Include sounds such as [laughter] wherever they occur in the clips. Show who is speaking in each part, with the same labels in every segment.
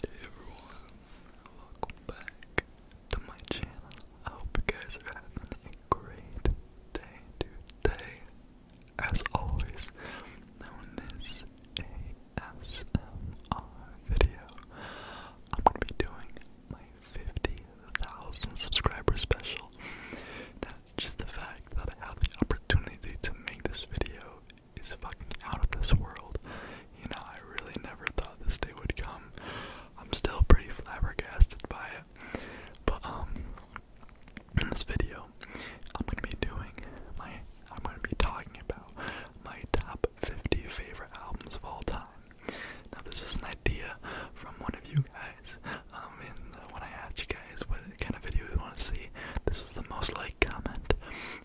Speaker 1: Hey everyone, welcome back to my channel. I hope you guys are having a great day today. As always, now in this video, I'm gonna be doing my 50,000 subscriber special. just the fact that I have the opportunity to make this video is fucking out of this world. You know, I really never thought this day would come. I'm still pretty flabbergasted by it. But um in this video I'm gonna be doing my I'm gonna be talking about my top 50 favorite albums of all time. Now this is an idea from one of you guys. Um in the, when I asked you guys what kind of video you want to see, this was the most like comment.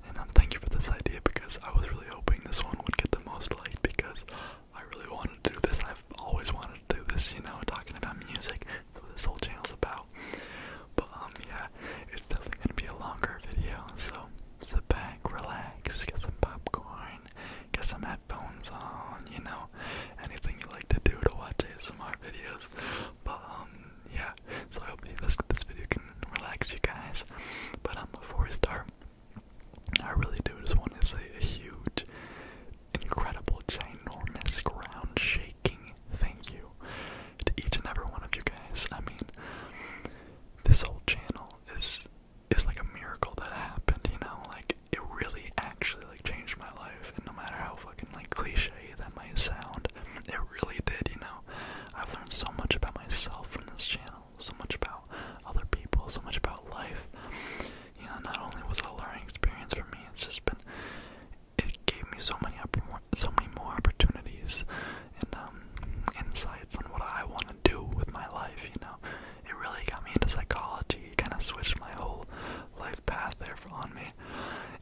Speaker 1: And um, thank you for this idea because I was really hoping this one would get the most light because I really wanted to do this. I've always wanted to do this, you know, talking about music. That's what this whole channel's about. But um, yeah, it's definitely gonna be a longer video. So sit back, relax, get some popcorn, get some headphones on, you know, anything you like to do to watch ASMR videos. But um, yeah, so I hope this this video can relax you guys. But I'm um, a four star. I really do just want to say a huge, incredible, ginormous, ground-shaking thank you to each and every one of you guys. I mean, this whole channel is is like a miracle that happened. You know, like it really actually like changed my life. And no matter how fucking like cliche that might sound, it really did, you know. I've learned so much about myself from this channel, so much about other people, so much about life. You know, not only was it a learning experience for me, it's just been it gave me so many so many more opportunities and um, insights on what I want to do with my life. You know, it really got me into psychology. It kind of switched my whole life path there on me,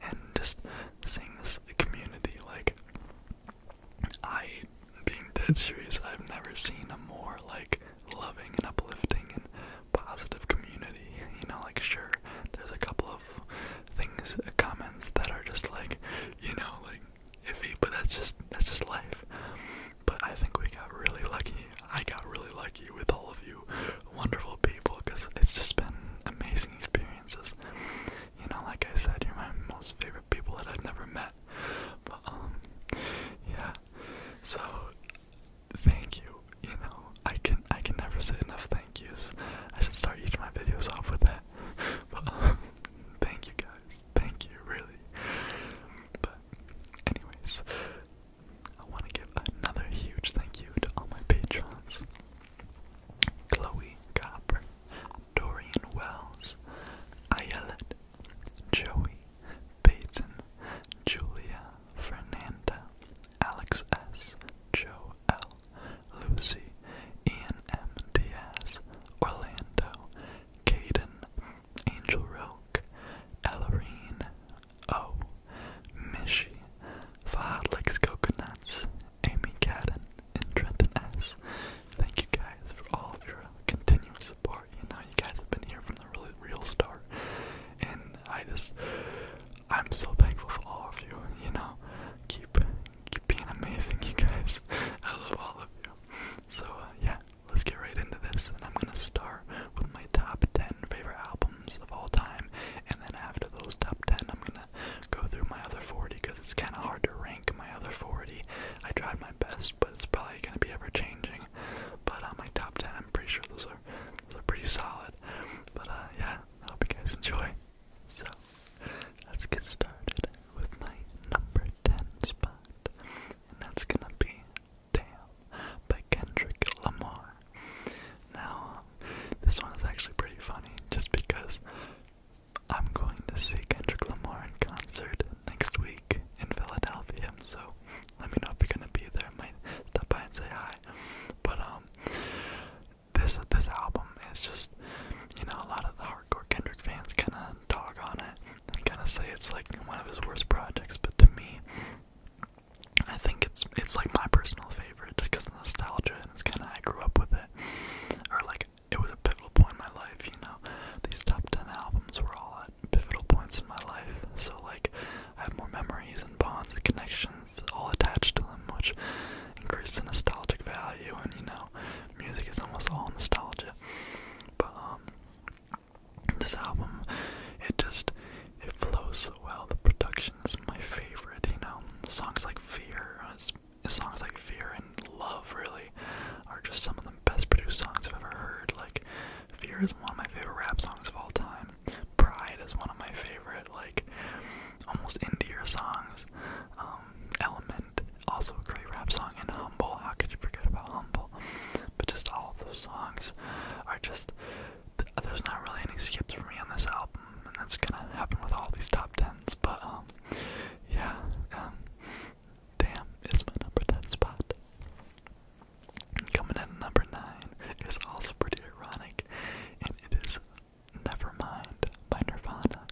Speaker 1: and just seeing this community like I, being dead serious, I've never seen a more like loving and uplifting and positive community. You know, like sure, there's a couple of things, uh, comments that are just like, you know, like iffy, but that's just that's just life. But I think we got really lucky. I got really lucky with all of you wonderful people because it's just been amazing experiences. You know, like I said, you're my most favorite people that I've never met. But um, yeah. So thank you. You know, I can I can never say enough thank yous. I should start each of my videos off with that. [laughs] But um, thank you guys. Thank you really. But anyways, I want to give another huge thank you to all my patrons. Chloe Copper, Dorian Wells, Ayelet, Joey, Peyton, Julia, Fernanda, Alex S, Joe L, Lucy, Ian M. Diaz, Orlando, Caden, Angel Roque, Ellerine, O, Mishy, Fadlix Coconuts, Amy Cadden, and Trenton S. Thank you guys for all of your continuous support. You know, you guys have been here from the really real start, and I just, I'm so thankful for all of you. You know, keep keep being amazing, you guys. [laughs] I love all of you. So uh, yeah, let's get right into this, and I'm gonna start with my top ten favorite albums of all time, and then after those top ten, I'm gonna go through my other 40 because it's kind of hard to rank my other 40. I tried my best, but it's probably going to be ever changing. But on uh, my top 10, I'm pretty sure those are, pretty solid. But uh, yeah, I hope you guys enjoy. So, let's get started with my number 10 spot. And that's gonna be Damn by Kendrick Lamar. Now, this one is actually pretty funny just because I'm going to see Kendrick Lamar in concert next week in Philadelphia, so let me know if you're gonna be there. I might stop by and say hi. But um, this this album is just, you know, a lot of the hardcore Kendrick fans kind of dog on it kind of say it's like one of his worst projects. But to me, I think it's it's like my personal favorite just because of nostalgia and it's kind of I grew up with it, or like it was a pivotal point in my life, you know. These top 10 albums were all at pivotal points in my life, so like I have more memories and bonds and connections all attached to them, which increase the nostalgic value. And you know, music is almost all nostalgia. But um, this album, it just it flows so well. The production is my favorite. You know, songs like "Fear" is songs like Fear and Love really are just some of the best produced songs I've ever heard. Like Fear is one of my favorite rap songs of all time. Pride is one of my favorite like almost indie songs. Um, Element also a great rap song and Humble. How could you forget about Humble? But just all of those songs are just there's not really any skips for me on this album, and that's gonna happen with all these top tens but um, yeah, um, damn, it's my number 10 spot. Coming in number 9 is also pretty ironic, and it is Nevermind by Nirvana.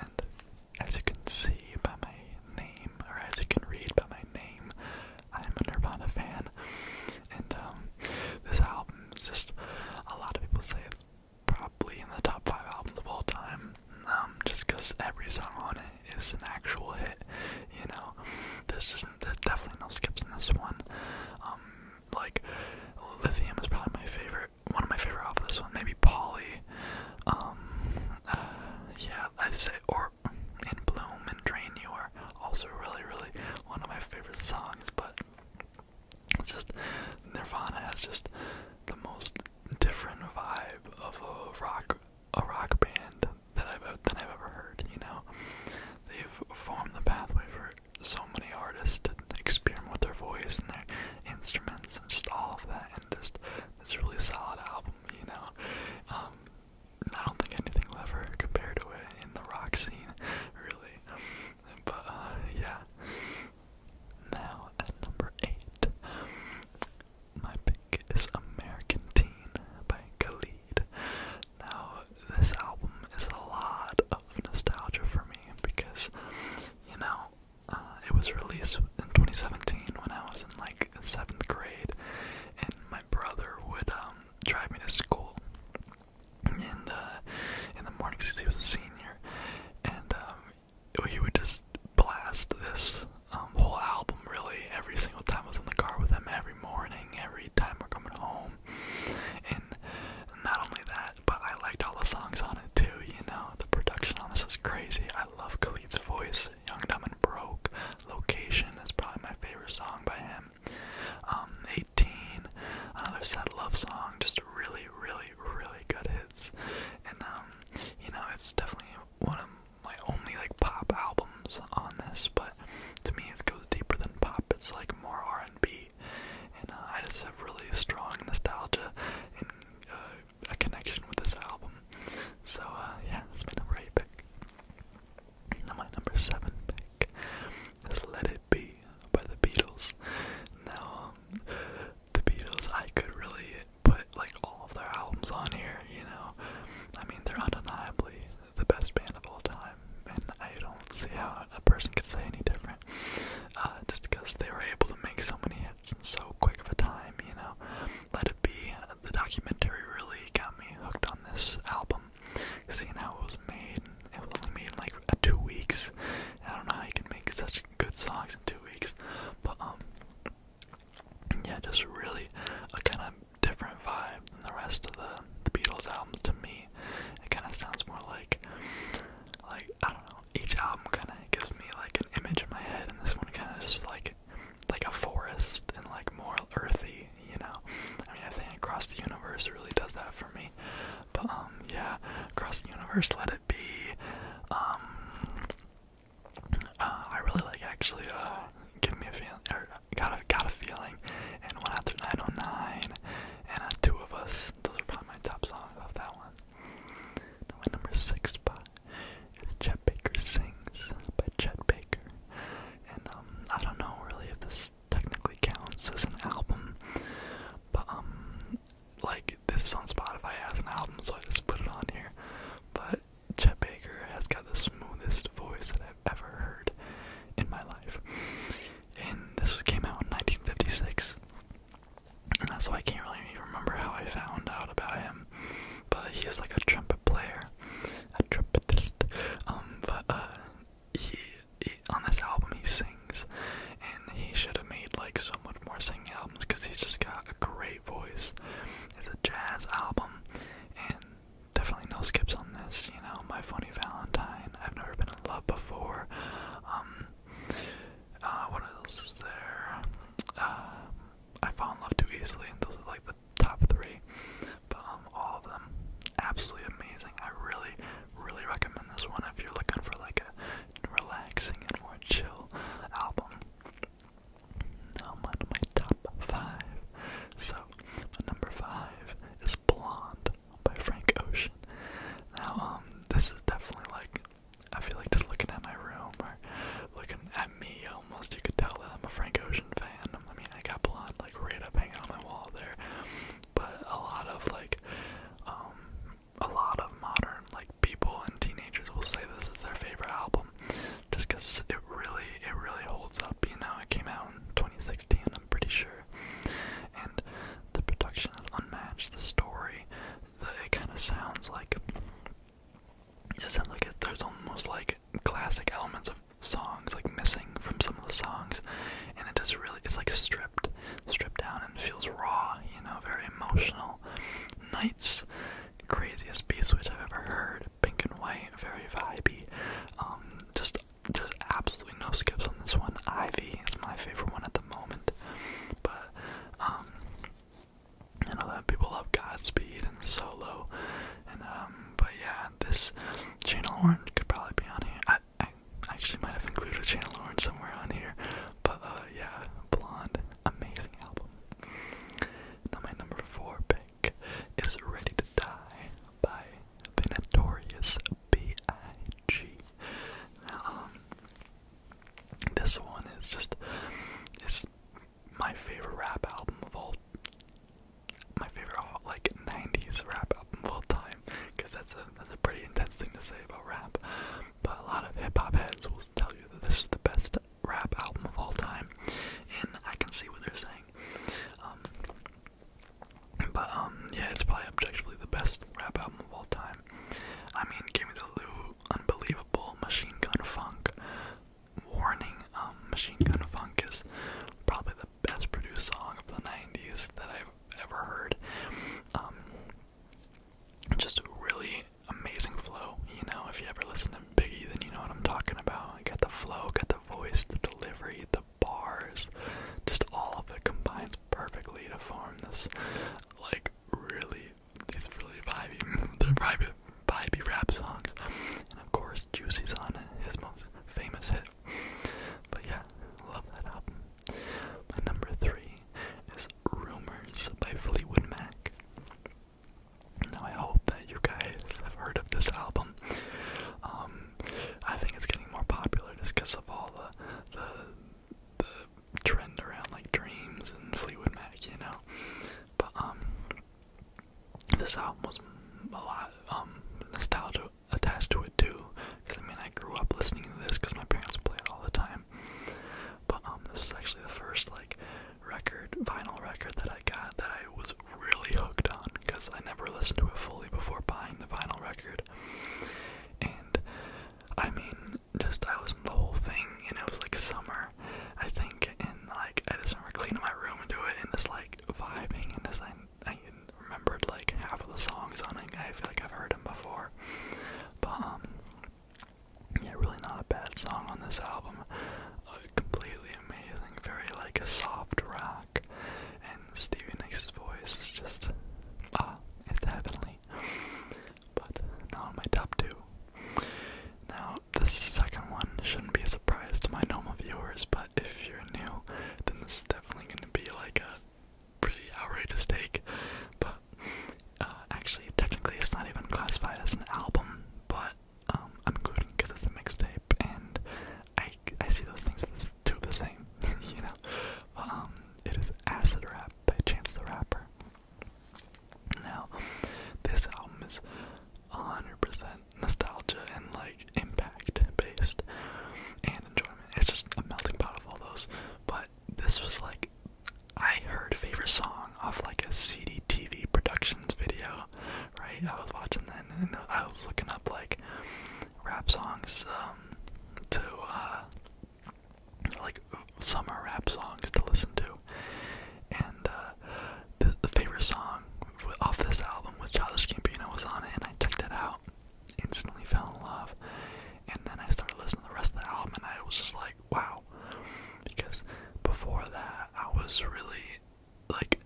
Speaker 1: And as you can see by my name, or as you can read by my name, I'm a Nirvana fan. And um, this album is just, a lot of people say it's probably in the top five albums of all time. Um, just because every song on it is an actual hit, you know. There's just there's definitely no skips in this one. Um, like Lithium is probably my favorite, one of my favorite off this one. Maybe Polly. Um, uh, yeah, I'd say or In Bloom and Drain You are also really, really one of my favorite songs. But just Nirvana has just the most different vibe of a rock a rock band that I've that I've ever heard. You know, they've formed the pathway for so many artists to experiment with their voice and their instruments and just all of that, and just it's a really solid album. You know, um, I don't think anything will ever compare to it in the rock scene, really. But uh, yeah. Now at number eight, my pick is American Teen by Khalid. Now this album is a lot of nostalgia for me because, you know, uh, it was released in 2017 when I was in like seventh grade, and my brother would um, drive me to school in the in the morning since he was a senior, and um, he would just blast this um, whole album really every single time I was in the car with him, every morning, every time we're coming home. And not only that, but I liked all the songs on it too, you know. The production on this is crazy. I love Khalid's voice, Young, Dumb, and Broke. Location is probably my favorite song by him. Um, 18, another sad love song, just really, really really, good hits. And um, you know, it's definitely one of my only like pop albums on this, but to me it goes deeper than pop. It's like more R and B, and uh, I just have really strong nostalgia and uh, a connection with this album. So uh, yeah, that's my number eight pick. Now my number seven pick is "Let It Be" by the Beatles. Now, um, the Beatles, I could really put like all of their albums on here, you know. I mean, they're undeniably the best band of all time, and I don't see how a person could say any different. Uh, just because they were able to make so many hits in so quick of a time, you know. Let It Be, the documentary really got me hooked on this album. Seeing how it was made, it was only made in like two weeks. I don't know how you can make such good songs in two weeks. But um, yeah, just really a kind of different vibe than the rest of the, the Beatles albums to me. It kind of sounds more like, like I don't know. Each album kind of gives me like an image in my head, and this one kind of just like, like a forest and like more earthy. You know, I mean, I think Across the Universe really does that for me. But um, yeah, Across the Universe, Let It Be, um, uh, I really like actually. Uh, give me a feeling. Or uh, got a got a feeling. And one after 909. And two of us. Those are probably my top songs of that one. my number six spot is Chet Baker Sings by Chet Baker. And um, I don't know really if this technically counts as an album, but um, like this is on Spotify as an album, so I just put it on here. But Chet Baker has got the smoothest voice that I've ever heard in my life. And this came out in 1956, and why I can't really remember how I found out about him. But he's like a trumpet player, a trumpetist. Um, but uh, he on this album he sings, and he should have made like so much more singing albums because he's just got a great voice. It's a jazz album, and definitely no skips on this. You know, My Funny Valentine, I've Never Been in Love Before. Um, uh, what else is there? Uh, I fell in Love Too Easily. Those are like the top three, but um, all of them absolutely amazing. I really, really recommend this one if you're looking for like a relaxing and more chill album. Now I'm my top five. So, number five is Blonde by Frank Ocean. Now, um, this is definitely like, I feel like just looking at my room or looking at me almost, you could tell that I'm a Frank Ocean fan. I mean, I got Blonde like right up hanging on my wall there. But a lot of like, um, a lot of modern like people and teenagers will say this is their favorite album just because it really it really holds up you know it came out in 2016 i'm pretty sure and the production is unmatched the story the, it kind of sounds like it sounds like it, there's almost like classic elements of songs like missing from some of the songs and it just really it's like stripped stripped down and feels raw you know very emotional Nights. Craziest B which I've ever heard. Pink and white, very vibey. Um, just there's absolutely no skips on this one. Ivy is my favorite one at the moment. But um I know that people love Godspeed and solo and um but yeah this channel orange could probably be on here. I I actually might have included channel orange somewhere on here. But uh yeah, blonde amazing album. Now my number four pick is Ready to Die by the Notorious B.I.G. Um, this one is just is my favorite rap album of all my favorite uh, like 90s rap album of all time because that's a that's a pretty intense thing to say about rap but a lot of hip-hop heads will tell you that this is the best rap album of all time, and I can see what they're saying. Um, but um, yeah, it's probably objectively the best rap album of all time. I mean, Gimme the Lou, Unbelievable, Machine Gun Funk, Warning. Um, Machine Gun Funk is probably the best produced song of the '90s that I've ever heard. just really amazing flow. You know, if you ever listen to Biggie, then you know what I'm talking about. I got the flow, got the voice, the delivery, the bars, just all of it combines perfectly to form this, like, really, these really vibey, [laughs] the vibey, vibey rap songs. And of course, Juicy's on it, his most famous hit. But yeah, love that album. My number three is Rumors by Fleetwood Mac. Now, I hope that you guys have heard of this album. Um, I think it's getting more popular just because of all the, the, trend around like Dreams and Fleetwood Mac, you know? But, um, this album was a lot, um, nostalgia attached to it too. Because I mean, I grew up listening to this because my parents play it all the time. But um, this is actually the first like record, vinyl record that I got that I was really hooked on because I never listened to it fully before buying the vinyl record. And I mean, just I listened to the whole thing, and it was like summer, I think, and like I just remember cleaning my room and do it, and just like vibing, and just like I remembered like half of the songs on it. I feel like I've heard them before, but um, yeah, really not a bad song on this album. A completely amazing, very like soft rock, and Stevie Nicks' voice is just ah, it's heavenly. But now on my top two. Now this second one shouldn't be a surprise to my normal viewers, but if you're new, then this is definitely going to be like a pretty outrageous take. But uh, actually, technically, it's not even classified as an album, but um, I'm including because it's a mixtape, and I I see those things as two of the same, [laughs] you know. Um, it is Acid Rap by Chance the Rapper. Now, this album is 100% nostalgia and like impact based and enjoyment. It's just a melting pot of all those, but this was like I heard favorite song off like a CD TV productions video, right? I was watching that and I was looking up like rap songs um, to uh, like summer rap songs to listen to, and uh, the, favorite song off this album with Childish Gambino was on it, and I checked it out, instantly fell in love, and then I started listening to the rest of the album, and I was just like wow. Because before that, I was really like,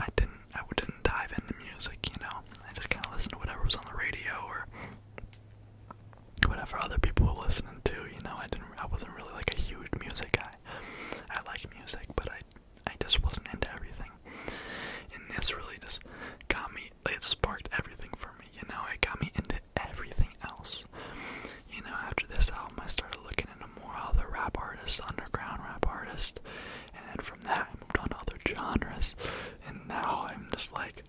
Speaker 1: I didn't, I didn't dive into music, you know. I just kind of listened to whatever was on the radio or whatever other people were listening to, you know. I didn't, I wasn't really like a huge music guy. I liked music, but I, I just wasn't into everything. And this really just got me. It sparked everything for me you know, it got me into everything else. You know, after this album, I started looking into more other rap artists, underground rap artists, and then from that, I moved on to other genres, and now I'm just like,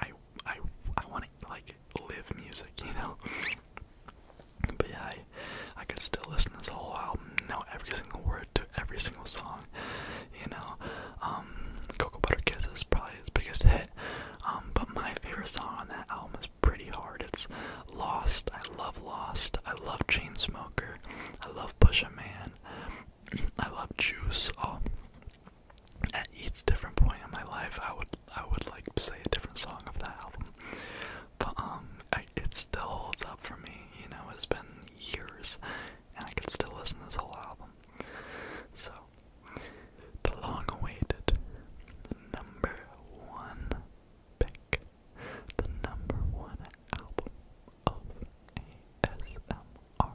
Speaker 1: I, I, I want to, like, live music, you know? But yeah, I, I could still listen to this whole album, know every single word to every single song, you know? Um, Cocoa Butter Kiss is probably his biggest hit, um, but my favorite song on that album is pretty hard. It's Lost. I love Lost. I love Chainsmoker. I love Push a Man. [clears throat] I love Juice. All oh, at each different point in my life, I would I would like say a different song of that album. But um, I, it still holds up for me. You know, it's been years, and I can still listen to this whole album. So the long awaited number one pick, the number one album of ASMR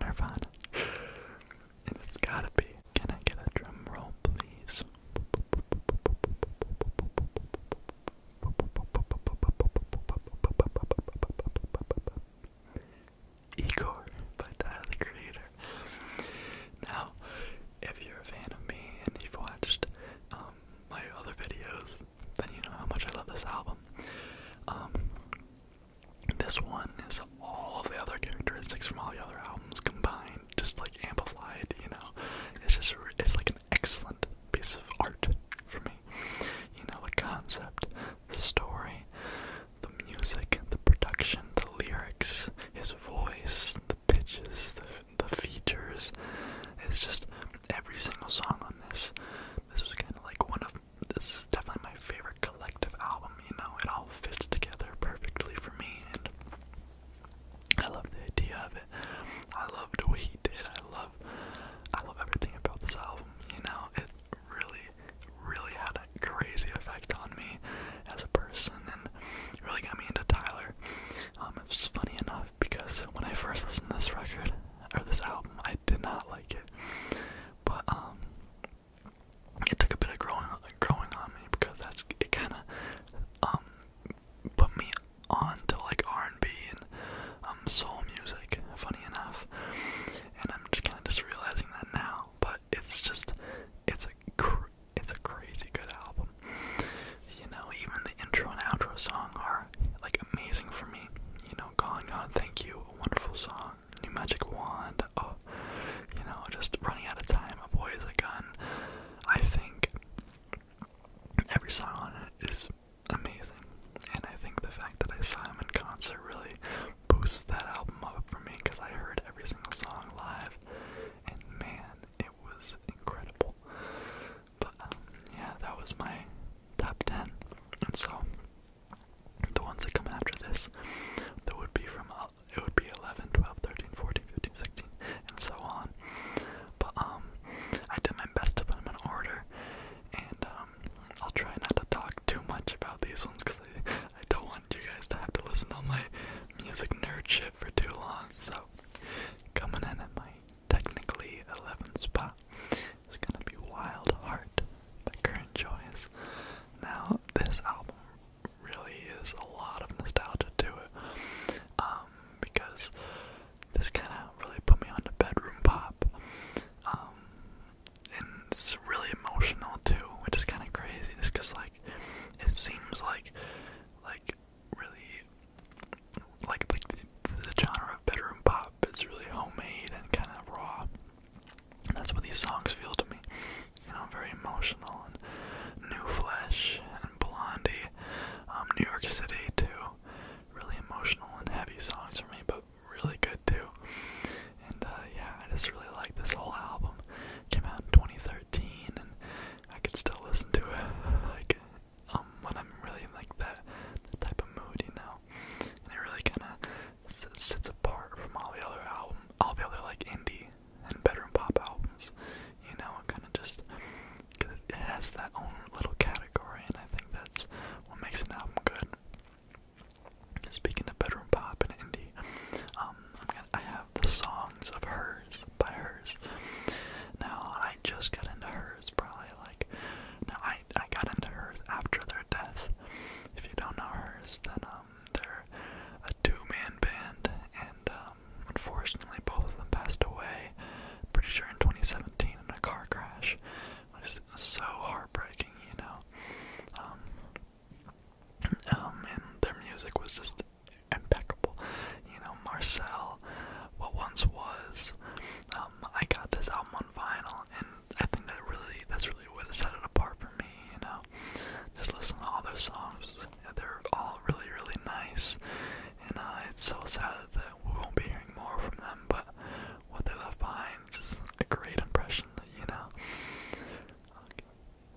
Speaker 1: Nirvana. And it's gotta be. Can I get a drum roll, please? Igor by Tyler the Creator. Now, if you're a fan of me and you've watched um, my other videos, then you know how much I love this album. Um, this one is all of the other characteristics from all the other albums combined, just like amplified. You know, it's just it's like an excellent piece of art for me. You know, the concept, the story, the music, the production, the lyrics, his voice, the pitches, the, the features. It's just every single song on this. This was kind of like one of. This is definitely my favorite collective album, you know? It all fits together perfectly for me, and I love the idea of it. I loved what he did. I love. I love everything about this album, you know? It really really had a crazy effect on me as a person and really got me into Tyler. Um, it's just funny enough because when I first listened to this record or this album, I did not like it, but um, it took a bit of growing growing on me because that's it kind of um, put me on to like R&B and soul music. Funny enough, and I'm just kind of just realizing that now, but it's just it's a cr it's a crazy good album. You know, even the intro and outro song are like amazing for me. You know, Calling On, Thank You, a wonderful song. New Magic Wand, oh, you know, just running out of time. A Boy is a Gun. I think every song on it is amazing, and I think the fact that I saw him in concert really boost that album up for me because I heard every single song live, and man, it was incredible. But um, yeah, that was my top 10. And so, the ones that come after this, that would be from uh, it would be 11, 12, 13, 14, 15, 16, and so on. But um, I did my best to put them in order, and um, I'll try not to talk too much about these ones because [laughs] I don't want you guys to have to listen to all my music nerd shit for too long. So, coming in at my technically 11th spot is gonna be Wild Heart by Current Choice. Now, this album really is a lot of nostalgia to it, um, because this kind of really put me on to bedroom pop. Um, and it's really emotional too, which is kind of crazy, just because like it seems like like really like like the, genre of bedroom pop is really homemade and kind of raw. that's what these songs feel to me. You know, very emotional and new flesh and Blondie, um, New York City too. Really emotional and heavy songs for me, but really good too. And uh, yeah, I just really like this whole album. came out in 2013, and I could still listen to it [laughs] like um, when I'm really like that, type of mood, you know. And it really kind of sits apart from all the other album, all the other like indie and bedroom pop albums, you know. It kind of just it has that own little category, and I think that's what makes an album good. Speaking of bedroom pop and indie, um, I have the songs of hers by hers. Now I just got into hers probably like no I I got into hers after their death. If you don't know hers, then um they're a two-man band and um unfortunately both of them passed away pretty sure in 2017 in a car crash, which is so heartbreaking, you know. Um um, and their music was just impeccable. You know, Marcel, what once was. Um, I got this album on vinyl, and I think that really, that's really what set it apart for me. You know, just listen to all those songs. they're all really, really nice. And uh, it's so sad that we won't be hearing more from them, but what they left behind, just a great impression, That you know.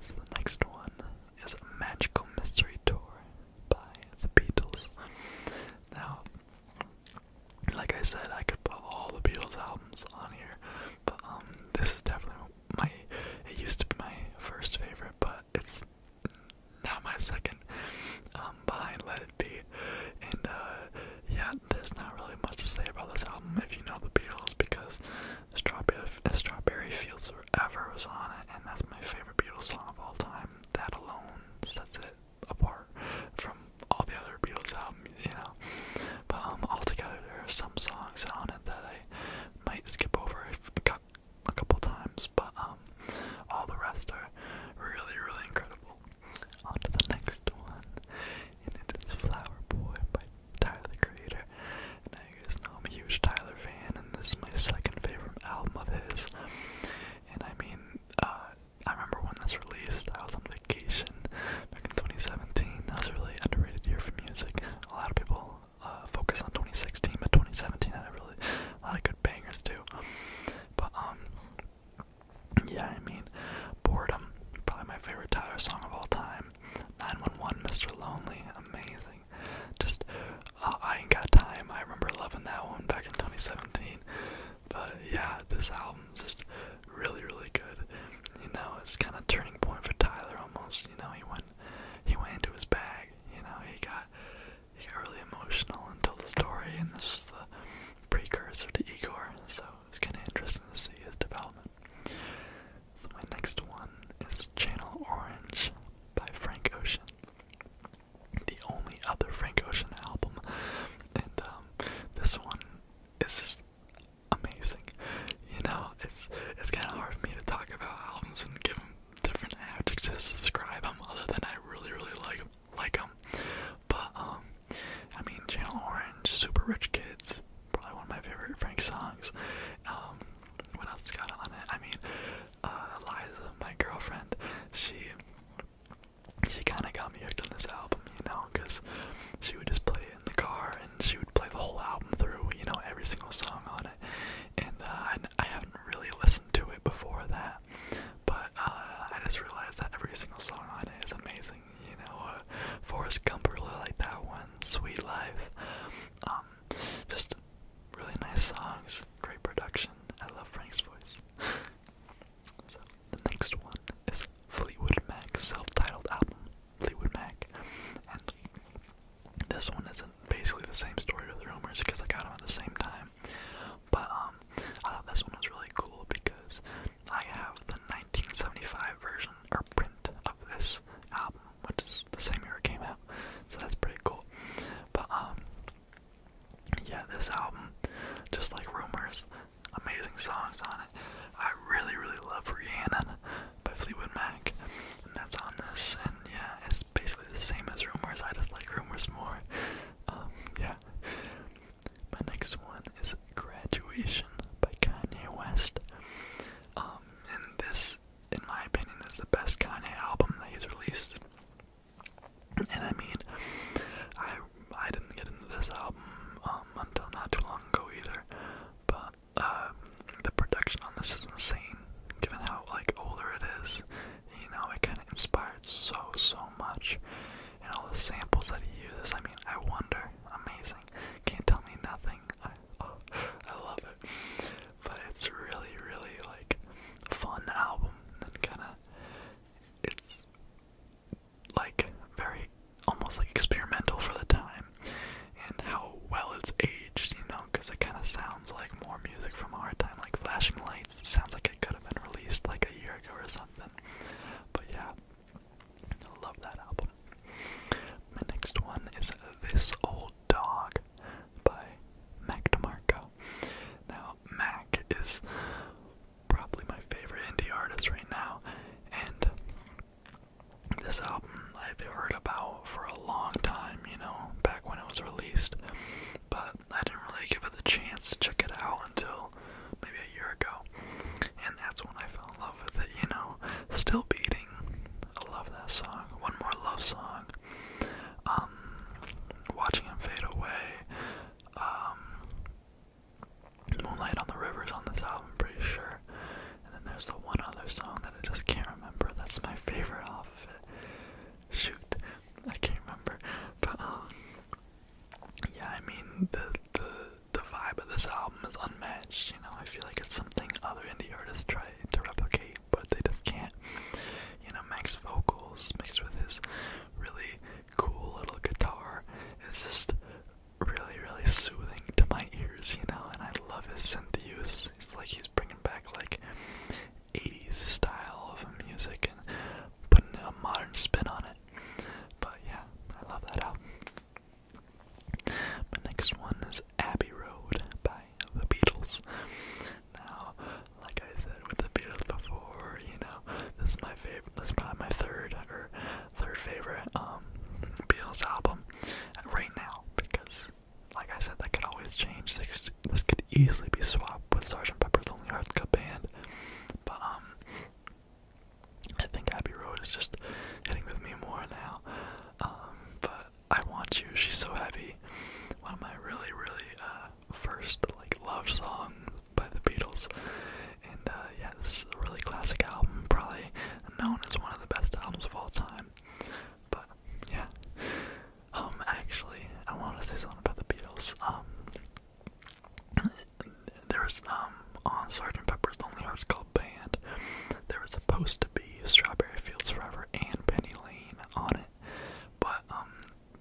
Speaker 1: So the next one is a Magical Mystery Tour by the Beatles. Now, like I said, I could put all the Beatles albums on here, but um, this is definitely my. It used to be my first favorite, but it's now my second. Um, behind Let It Be, and uh, yeah, there's not really much to say about this album if you know the Beatles because Strawberry, Strawberry Fields Forever was on it, and that's my favorite Beatles song of all time. That alone sets it apart from all the other Beatles albums, you know. But um, altogether, there are some songs on it that I might skip over a couple times, but um, all the rest are really, really incredible. On to the next one, and it is Flower Boy by Tyler the Creator. now you guys know I'm a huge Tyler fan, and this is my second favorite album of his. And I mean, uh, I remember when this released, I was on vacation back in 2017. That was a really underrated year for music. A lot of people uh, focus on 2016, but 2017 had a really lot of good bangers too. But um, yeah, I mean, boredom, probably my favorite Tyler song of all time. 911, Mr. Lonely, amazing. Just, uh, I ain't got time. I remember loving that one back in 2017. But yeah, this album's just really, really good. You know, it's kind of turning point for Tyler almost. You know, he went, he went into his bag. You know, he got, he got really emotional and told the story, and this was the precursor to Igor. So it's kind of interesting to see his development. So my next one is Channel Orange by Frank Ocean. The only other Frank Ocean album. And um, this one is just amazing. You know, it's it's kinda hard for me to talk about albums and give them different adjectives to describe them other than I really, really like like them. But um, I mean Channel Orange, Super Rich Kids, probably one of my favorite Frank songs. Um, what else got on it? I mean, uh, Eliza, my girlfriend, she she kind of got me hooked on this album, you know, because she would just play it in the car and she would play the whole album through, you know, every single song on it. And uh, I, I haven't really listened to it before that, but uh, I just realized that every single song on it is amazing, you know. Uh, Forrest Gump really like that one, Sweet Life. Um, just really nice songs, great production. I love Frank's voice. [laughs] so the next one is Fleetwood Mac's self-titled album, Fleetwood Mac, and this one isn't basically the same story with Rumors because I got them at the same time. But um, I thought this one was really cool because I have the 1975 version or print of this album which is the same year it came out, so that's pretty cool. But um, yeah, this album, just like Rumors, amazing songs on it. I really, really love Rihanna by Fleetwood Mac, and that's on this. And yeah, it's basically the same as Rumors. I just like Rumors more. Um, yeah. My next one is Graduation by Kanye West. Um, and this in my opinion, is the best kind of album that he's released. And I mean, I I didn't get into this album um, until not too long ago either, but uh, the production on this is insane, given how like older it is. You know, it kind of inspired so so much, and all the samples that he uses. I mean, I wonder, amazing. Can't tell me nothing. I, oh, I love but it's really really like fun album and kind of it's like very almost like experimental for the time and how well it's aged you know because it kind of sounds like more music from our time like flashing lights sounds like it could have been released like a year ago or something but yeah love that album my next one is this old Dog by Mac DeMarco. Now, Mac is probably my favorite indie artist right now, and this album I've heard about for a long time, you know, back when it was released, but I didn't really give it the chance to check it out until maybe a year ago, and that's when I fell in love with it, you know, still beating I love that song. One More Love Song. Um, watching Him Fade Away. Um, Moonlight on the Rivers on this album, I'm pretty sure. And then there's the one other song that I just can't remember. That's my favorite off of it. Shoot, I can't remember. But um, yeah, I mean the the the vibe of this album is unmatched you know, I feel like it's something other indie artists try to replicate, but they just can't. You know, Max's vocals mixed with his really cool little guitar its just really, really soothing to my ears, you know, and I love his synth use. It's like he's bringing back like 80s style of music and putting a modern spin on it. But yeah, I love that album. My next one is Abbey Road by the Beatles. Now, like I said with the Beatles before, you know, this is my favorite. This is probably my third or third favorite um, Beatles album right now because, like I said, that could always change. This, could easily be swapped with Sgt. Pepper's Lonely Hearts Club Band, but um, I think Abbey Road is just hitting with me more now. Um, but I Want You, she's so heavy. One of my really, really uh, first like love songs by the Beatles. And uh, yeah, this is a really classic album, probably known as one of the best albums of all time. But yeah, um, actually, I want to say something about the Beatles. Um, there was um on Sergeant Pepper's Lonely Hearts Club Band, there was a post be Strawberry Fields Forever and Penny Lane on it, but um,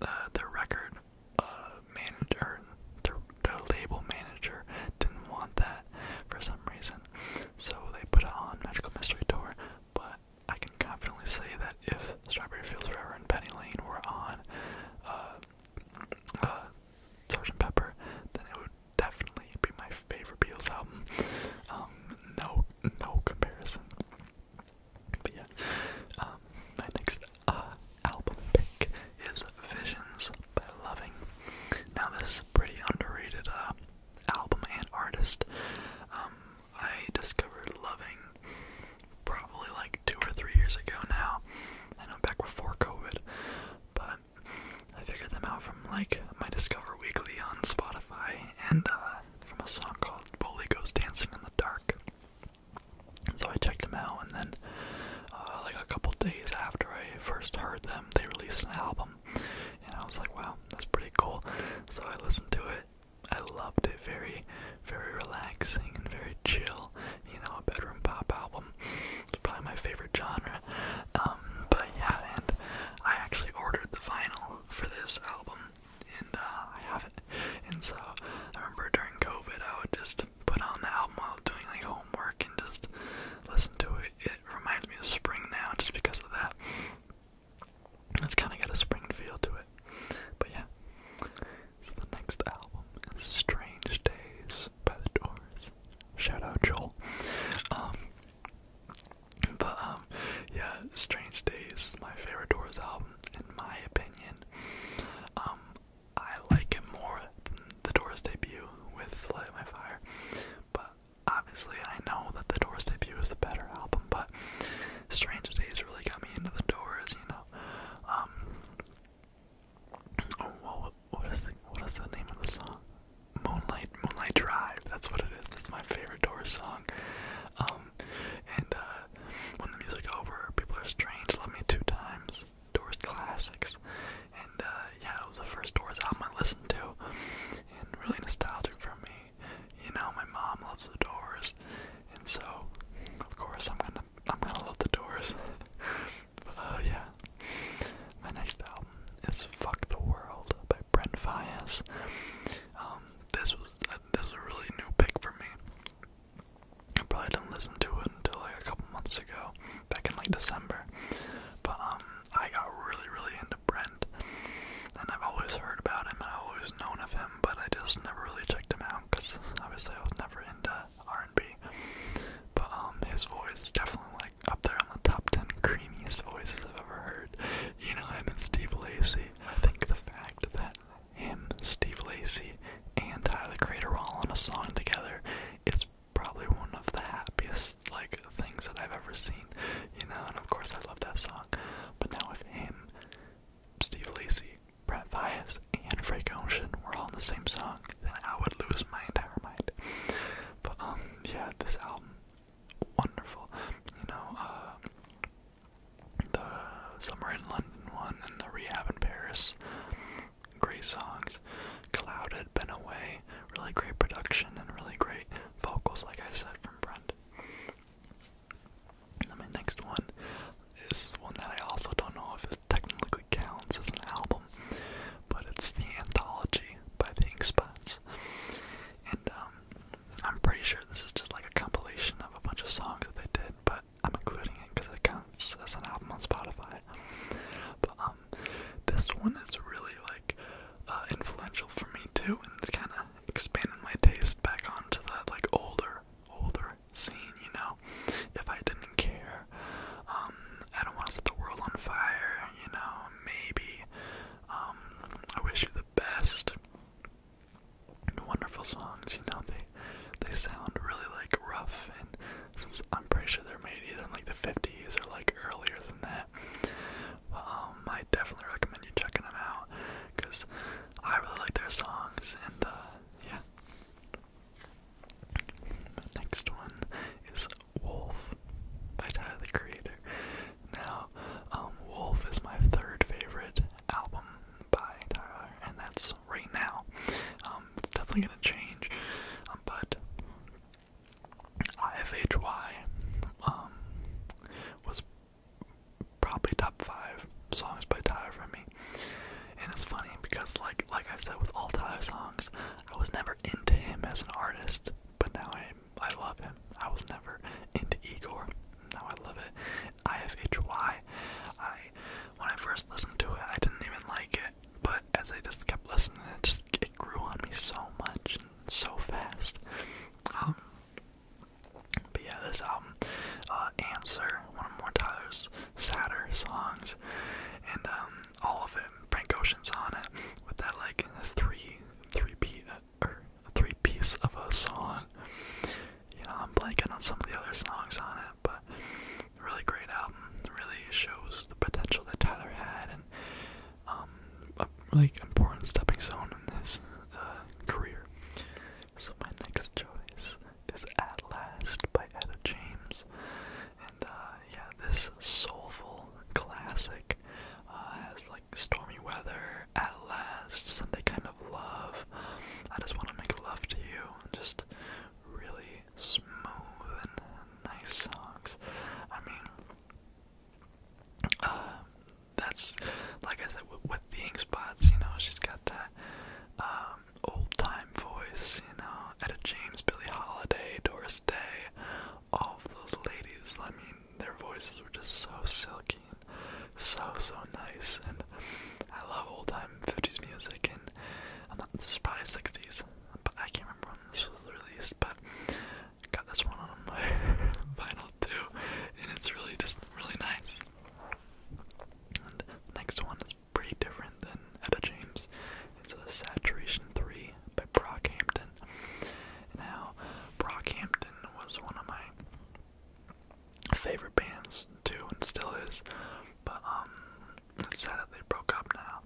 Speaker 1: the their record uh, manager, the their label manager, didn't want that for some reason, so they put it on Magical Mystery Tour. But I can confidently say that if Strawberry Fields Forever and Penny Lane were on uh, uh, Sgt. Pepper, then it would definitely be my favorite Beatles album. Um, no, no comparison. But yeah, um, my next uh, album pick is Visions by Loving. Now this is a pretty underrated uh, album and artist. Um, I discovered Loving probably like two or three years ago now. and I am back before COVID, but I figured them out from like my Discover Weekly on Spotify and uh, from a song called Bully Goes Dancing in the Dark. So I checked them out, and then uh, like a couple days after I first heard them, they released an album, and I was like, wow, that's pretty cool. So I listened to it. I loved it. Very, very relaxing and very chill. You know, a bedroom pop album. It's probably my favorite genre um, but yeah, and I actually ordered the vinyl for this album, and uh, I have it. And so I remember during COVID, I would just put on the album while doing like homework and just listen to it. It reminds me of spring now, just because of that. It's kind of got a spring feel to it. But yeah. So the next album is Strange Days by The Doors. Shout out Joel. Um, but um, yeah, Strange Days is my favorite Doors album in my opinion. Um, I like it more than the Doors debut with Light My Fire, but obviously I know that the Doors debut is a better album. But Strange Days really got me into the Doors, you know. Um, oh, what is what is the name of the song? Moonlight Moonlight Drive. That's what it is. That's my favorite Doors song. Um, and uh, when the music over, people are strange. Love me two times. Doors classics. And uh, yeah, it was the first Doors album I listened to, and really nostalgic for me. You know, my mom loves the Doors, and so of course I'm gonna I'm gonna love the Doors. [laughs] but uh, yeah. My next album is "Fuck the World" by Brent Fias. Um, this was uh, this was a really new pick for me. I probably didn't listen to it until like a couple months ago, back in like December. But um, I got really really into Brent, and I've always heard about him and I've always known of him, but I just never really checked him out because obviously I was never into R&B. But um, his voice is definitely up there on the top 10 creamiest voices I've ever heard. You know him and Steve Lacey. I think the fact that him, Steve Lacey, and Tyler Crater all on a song together is probably one of the happiest like things that I've ever seen. You know, and of course I love that song. But now with him, Steve Lacy, Brett Fias, and Frank Ocean were all in the same song, then I would lose my entire mind. But um yeah, this album wonderful. You know, uh, the Summer in London one and the Rehab in Paris, great songs. Clouded, Been Away, really great production and really great vocals, like I said, from Brent. And my next one is one that I also don't know if it technically counts as an album, but it's the anthology by the Ink and um, I'm pretty sure this is just like a compilation of a bunch of songs that they did, but I'm including it because it counts as an album on Spotify. But um, this one is really like uh, influential for me too, and it's kind of expanded my taste back on to the like older, older scene. You know, if I didn't care, um, I don't want to set the world on fire. You know, maybe um, I wish you the best. Wonderful songs, you know they they sound really like rough, and I'm pretty sure they're made either in like the '50s or like earlier than that. Um, I definitely recommend you checking them out because I really like their songs, and uh, yeah. next one is Wolf by Tyler the Creator. Now, um, Wolf is my third favorite album by Tyler, and that's right now. Um, it's definitely gonna change, um, but IFHY um, was probably top five songs by Tyler for me. And it's funny because, like, like I said with all Tyler songs, I was never into him as an artist, but now I am I love him. I was never into Igor. Now I love it. I IFHY. I when I first listened to it, I didn't even like it, but as I just kept listening, it just it grew on me so much and so fast. Um, but yeah, this album, uh, Answer, one of more Tyler's sadder songs, and um, all of it, Frank Ocean's on it, with that like three, three beat, or a three piece of a song. You know, I'm blanking on some of the other songs on it, but really great album. Really shows the potential that Tyler had and um, a really important stepping stone in his uh, career. So my next choice is At Last by Etta James. And uh, yeah, this soulful classic uh, has like stormy weather at last, Sunday kind of love. I just want to make love to you. Just really smooth and nice songs. I mean, uh, that's like I said with, with the ink spots. You know, she's got that um, old time voice. You know, at a James, Billy Holiday, Doris Day, all of those ladies. I mean, their voices were just so silky so, so nice. And I love old time 50s music. And this is probably 60s, but I can't remember when this was released. But I got this one on [laughs] my vinyl too. And it's really just really nice. And the next one is pretty different than Etta James. It's a Saturation 3, by Brockhampton. Now, Brockhampton was one of my favorite bands too, and still is. But um, they broke up now.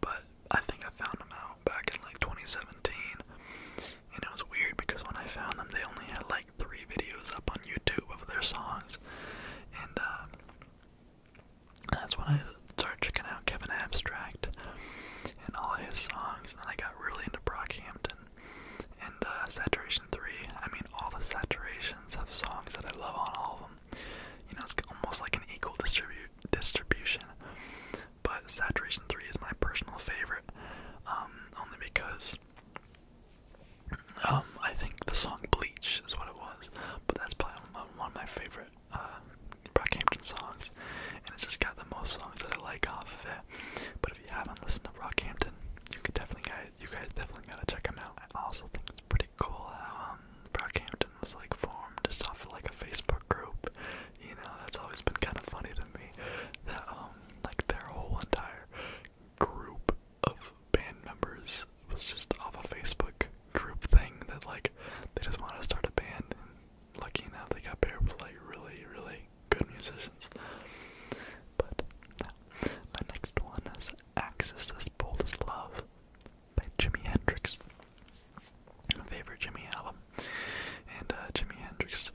Speaker 1: But I think I found them out back in like 2017, and it was weird because when I found them, they only had like three videos up on YouTube of their songs, and uh, that's when I started checking out Kevin Abstract and all his songs. And I got really into Brockhampton and uh, Saturation 3. I mean, all the Saturations have songs that I love on all of them. You know, it's almost like an equal distribu distribution. But Saturation 3 is my personal favorite, um, only because um, I think the song Bleach is what it was. But that's probably one of my favorite uh, Brockhampton songs, and it's just got the most songs that I like off of it. But if you haven't listened to Brockhampton, you could definitely guys, you guys definitely gotta check them out. I also think it's pretty cool how um, Brockhampton was like formed just off of like a Facebook group. You know, that's always been kind of funny to me that um like their whole entire group of band members was just off a Facebook group thing that like they just wanted to start a band and lucky enough they got paired with like really, really good musicians. But my next one is Access as Bold as Love by Jimi Hendrix. My favorite Jimi album. And uh, Jimi Hendrix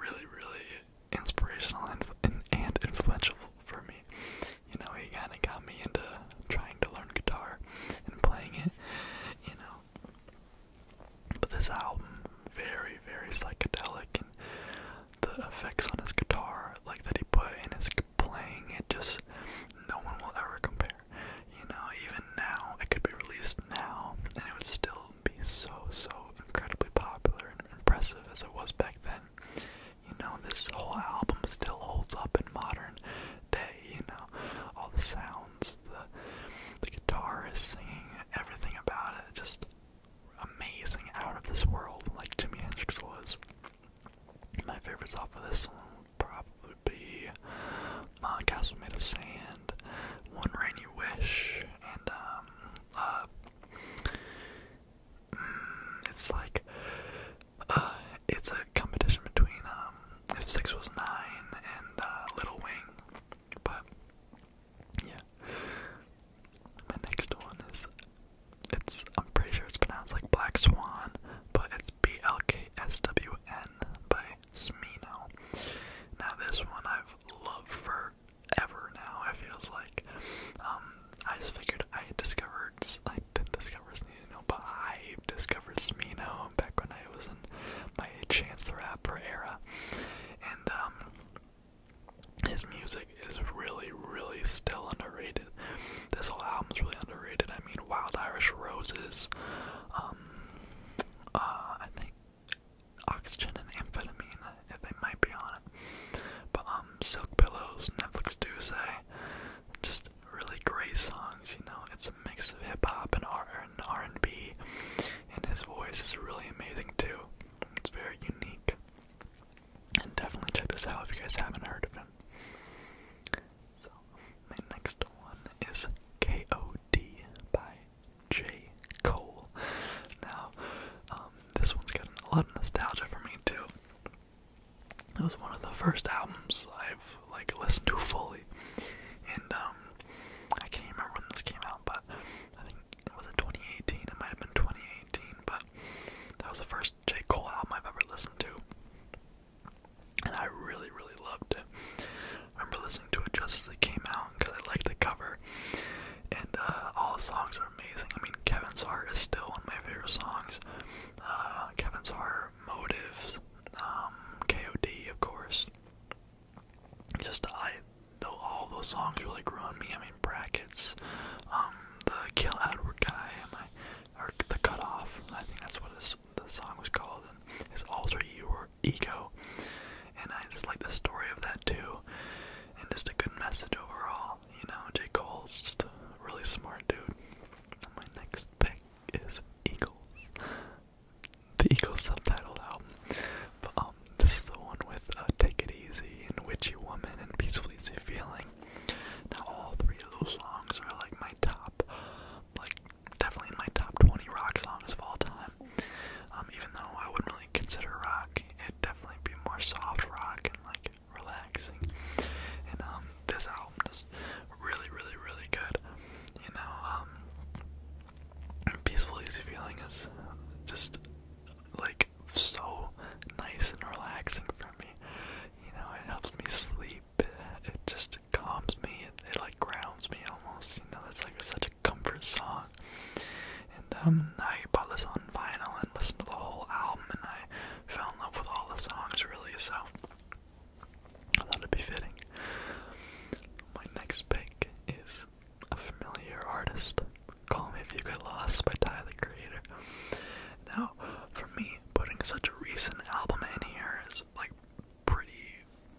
Speaker 1: really, really inspirational and, and influential for me. You know, he kind of got me into trying to learn guitar and playing it. You know, but this album, very, very psychedelic, and the effects on his guitar, like that he put in his playing, it just no one will ever compare. You know, even now, it could be released now, and it would still be so, so incredibly popular and impressive as it was back then. You know, this whole album still holds up in modern day, you know, all the sounds the guitar is singing, everything about it, just amazing, out of this world, like Jimi Hendrix was. My favorite song for this one would probably be "My uh, Castle Made of Sand, One Rainy Wish, and um, uh, mm, it's like, uh, it's a competition between um, If Six Was Nine and uh, Little Wing. But yeah. My next one is it's I'm pretty sure it's pronounced like Black Swan, but it's B L K S W N by Smino. Now this one I've loved for ever now, it feels like. Um, I just figured I discovered I didn't discover Smino, but I discovered Smino back when I was in Johnson, my Chance the Rapper era, and um, his music is really, really still underrated. This whole album is really underrated. I mean, Wild Irish Roses, um, uh, I think Oxygen and Amphetamine, if they might be on it, but um, Silk Pillows, Netflix Do Say, just really great songs. You know, it's mix of hip hop and R and R and B, and his voice is really amazing too. It's very unique, and definitely check this out if you guys haven't heard of him. So my next one is K.O.D. by J. Cole. Now, um, this one's got a lot of nostalgia for me too. It was one of the first albums I've like listened to fully, and um, I can't remember when this came out, but I think it was in 2018. It might have been 2018, but that was the first J. Cole album I've ever listened to. And I really, really loved it. I remember listening to it just as it came out because I liked the cover. And uh, all the songs are amazing. I mean, Kevin's Heart is still one of my favorite songs. Uh, Kevin's Heart, Motives, um, KOD, of course just I though all those songs really grew on me. I mean brackets, um, the Kill Edward guy, my, or the cutoff. I think that's what his, the song was called, and his alter ego. And I just like the story of that too, and just a good message overall. You know, J Cole's just a really smart dude. my next pick is Eagles the Eagles subtitled album. Um, this is the one with uh, "Take It Easy" and "Witchy Woman" and "Peaceful Easy Feeling." Now all three of those songs are like my top, like definitely my top 20 rock songs of all time. Um, even though I wouldn't really consider rock, it'd definitely be more soft rock and like relaxing. And um, this album just really, really, really good. You know, peaceful, easy feeling is just like so nice and relaxing for me. You know, it helps me sleep. It just calms me. It, like grounds me almost. You know, that's like such a comfort song. And um, I bought this on vinyl and listened to the whole album, and I fell in love with all the songs really. So I thought it'd be fitting. My next pick is a familiar artist. Call Me If You Get Lost by Tyler the Creator. Now, for me, putting such a recent album in here is like pretty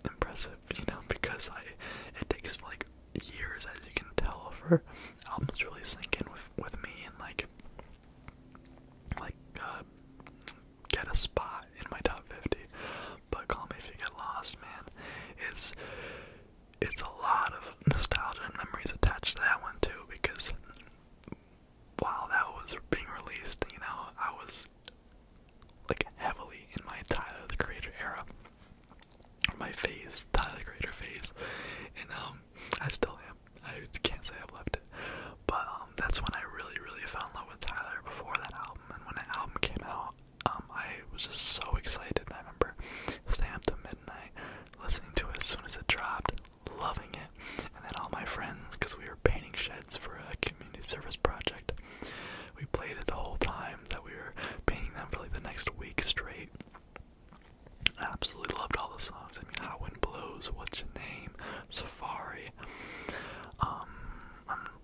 Speaker 1: impressive, you know, because I it takes like years as you can tell for albums to really sink in with with me and like like uh, get a spot in my top 50 but call me if you get lost, man. It's it's a lot of nostalgia and memories attached to that one too, because while that was being released, you know, I was like heavily in my Tyler the Creator era, or my phase, Tyler the Creator phase, and um, I still am. I can't say I've left it, but um, that's when I really, really fell in love with Tyler before that album, and when that album came out, um, I was just so excited. I remember staying up till midnight, listening to it as soon as it dropped, loving it, and then all my friends, because we were painting sheds for a community service project, we played it the whole time that we were painting them for like the next week straight. I absolutely loved all the songs. I mean, How Wind Blows, What's Your Name, Safari. Um,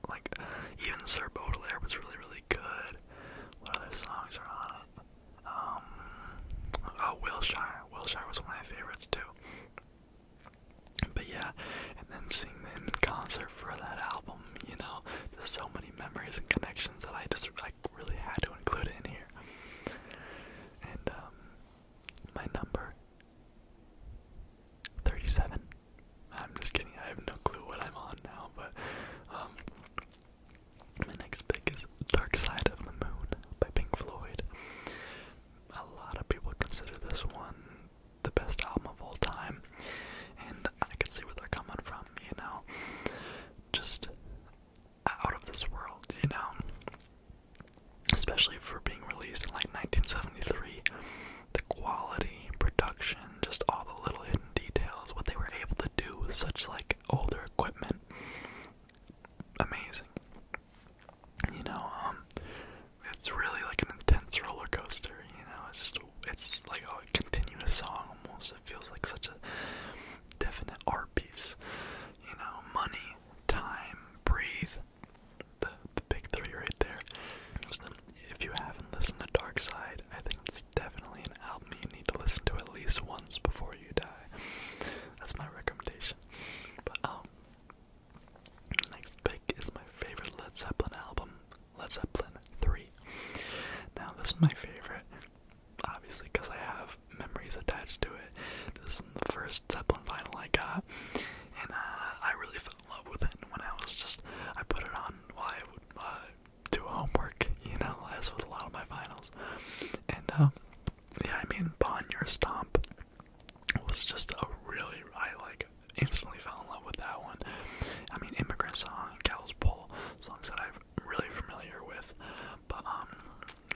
Speaker 1: like even Sir Baudelaire was really really good. What other songs are on it? Um, oh, Wilshire. Wilshire was one of my favorites too. But yeah, and then seeing them in concert for that album, you know, just so many memories and connections that I just like really had to include it in here. And um, my number 37. I'm just kidding. I have no clue what I'm on now, but um, next pick is Dark Side of the Moon by Pink Floyd. A lot of people consider this one the best album of all time, and I can see where they're coming from, you know? Just out of this world, you know? Especially for being released in like 1973 the quality, production, just all the little hidden details, what they were able to do with such like older equipment. Amazing. You know, um it's really like an intense roller coaster, you know, it's just it's like a continuous song almost. It feels like such a definite art piece. You know, money, time, breathe, the big three right there. Listen, if you haven't listened to Dark Side, I think it's definitely an album you need to listen to at least once before you die. That's my recommendation. But um, next pick is my favorite Led Zeppelin album, Led Zeppelin 3. Now this is my favorite, obviously because I have memories attached to it. This is the first Zeppelin vinyl I got, and uh, I really fell in love with it. And when I was just, I put it on why I would uh, do homework, [laughs] you know, as with a lot of my finals. And uh, yeah, I mean, Bon Bonnier Stomp was just a really, I like instantly fell in love with that one. I mean, Immigrant Song, Gal's Pole, songs that I'm really familiar with. But um,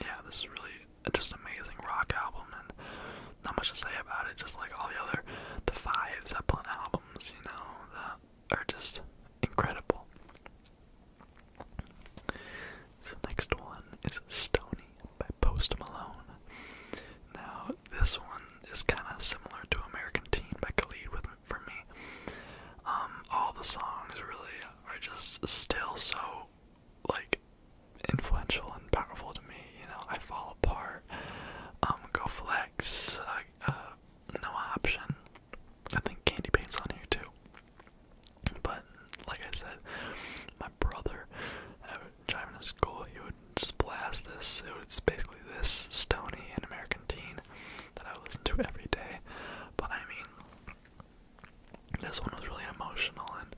Speaker 1: yeah, this is really just amazing rock album, and not much to say about it. Just like all the other, the five Zeppelin album you know, that are just incredible. So next one is Stony by Post Malone. Now this one is kinda similar to American Teen by Khalid with for me. Um, all the songs really are just still so like influential and powerful to me, you know, I fall apart, um, go flex, uh, uh, no option. I think Candy Paint's on here too. But like I said, my brother, uh, driving to school, he would blast this. It was basically this Stony and American Teen that I would listen to every day. But I mean, this one was really emotional, and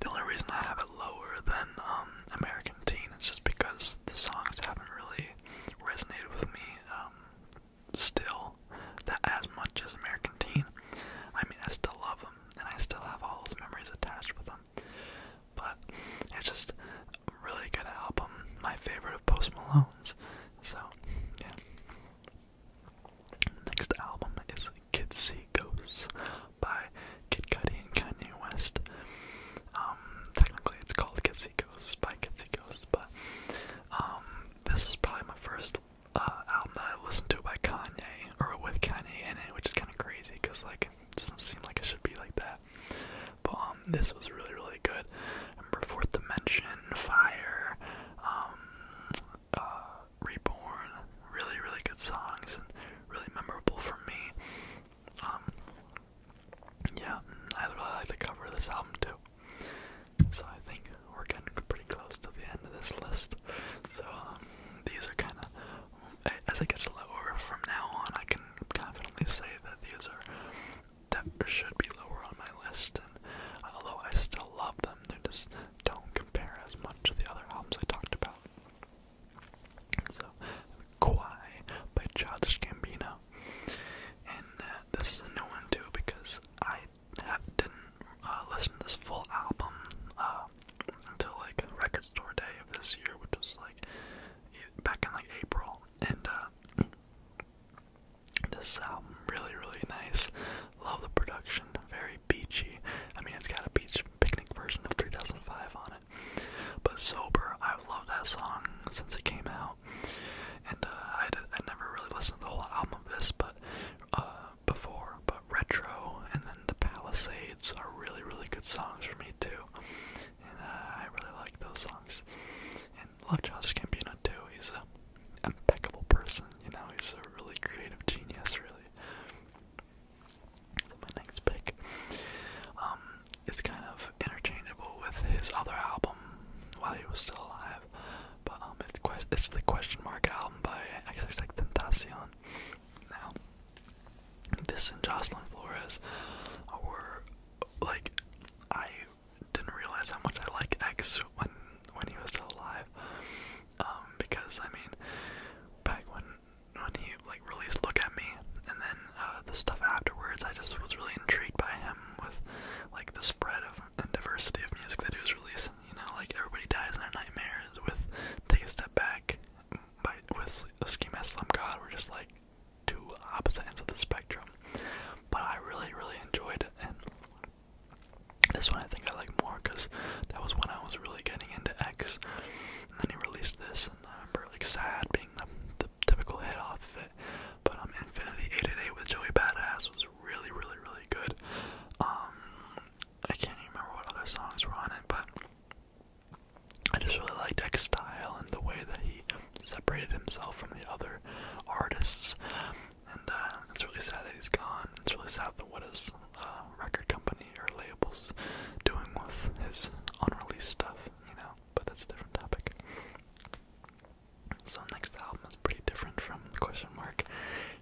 Speaker 1: the only reason I have it lower than um, American Teen is just because the songs haven't really resonated with me um, still as much as American Teen. I mean, I still love them, and I still have all those memories attached with them. But it's just really good album, my favorite of Post Malone's. So, yeah. Next album is Kids See Ghosts by Kid Cudi and Kanye West. Um, technically, it's called Kitsy Ghost by Kitsy Ghost, but um, this is probably my first uh, album that I listened to by Kanye or with Kanye in it, which is kind of crazy because like it doesn't seem like it should be like that. But um, this was really really good. I remember Fourth Dimension, Fire, uh, Reborn, really really good songs and really memorable for me yeah, I really like the cover of this album too. So I think we're getting pretty close to the end of this list. So um, these are kind of, as it gets lower from now on, I can confidently say that these are that should be lower on my list. And although I still love them, they just don't compare as much to the other albums I talked about. So, Kawhi by Childish Gambino. And uh, this is a new one too because I didn't uh, listen this full album uh, until like Record Store Day of this year, which was like back in like April. And this album really, really nice. Love the production, very beachy. I mean, it's got a beach picnic version of 3005 on it. But Sober, I've loved that song since it came out. And uh, I, never really listened to the whole album of this but uh, before, but Retro and then The Palisades are really, really good songs for me too. And uh, I really like those songs. And love Josh Gambino too. He's an impeccable person, you know, he's a really creative genius, really. my next pick. Um, it's kind of interchangeable with his other album while he was still alive. But um, it's que it's the Question Mark album by X like XXXTentacion. Now, this and Jocelyn Flores were like I didn't realize how much I like X when when he was still alive. Um, because I mean, back when when he like really look at me. And then uh, the stuff afterwards, I just was really intrigued by him with like the spread of and diversity of music that he was releasing. You know, like everybody dies in their nightmares with Take a Step Back, by with a Ski Mask Slum God. We're just like two opposite ends of the spectrum. But I really, really enjoyed it. And this one I think I like more because that was when I was really getting into X. And then he released this, and I remember like Sad being the, the typical hit off of it. But um, Infinity 888 with Joey Badass was really, really, really good. Um, I can't remember what other songs were on it, but I just really liked X's style and the way that he separated himself from the other artists. And uh, it's really sad that he's gone. It's really sad that what his uh, record company or labels doing with his unreleased stuff, you know but that's a different topic. So next album is pretty different from Question Mark,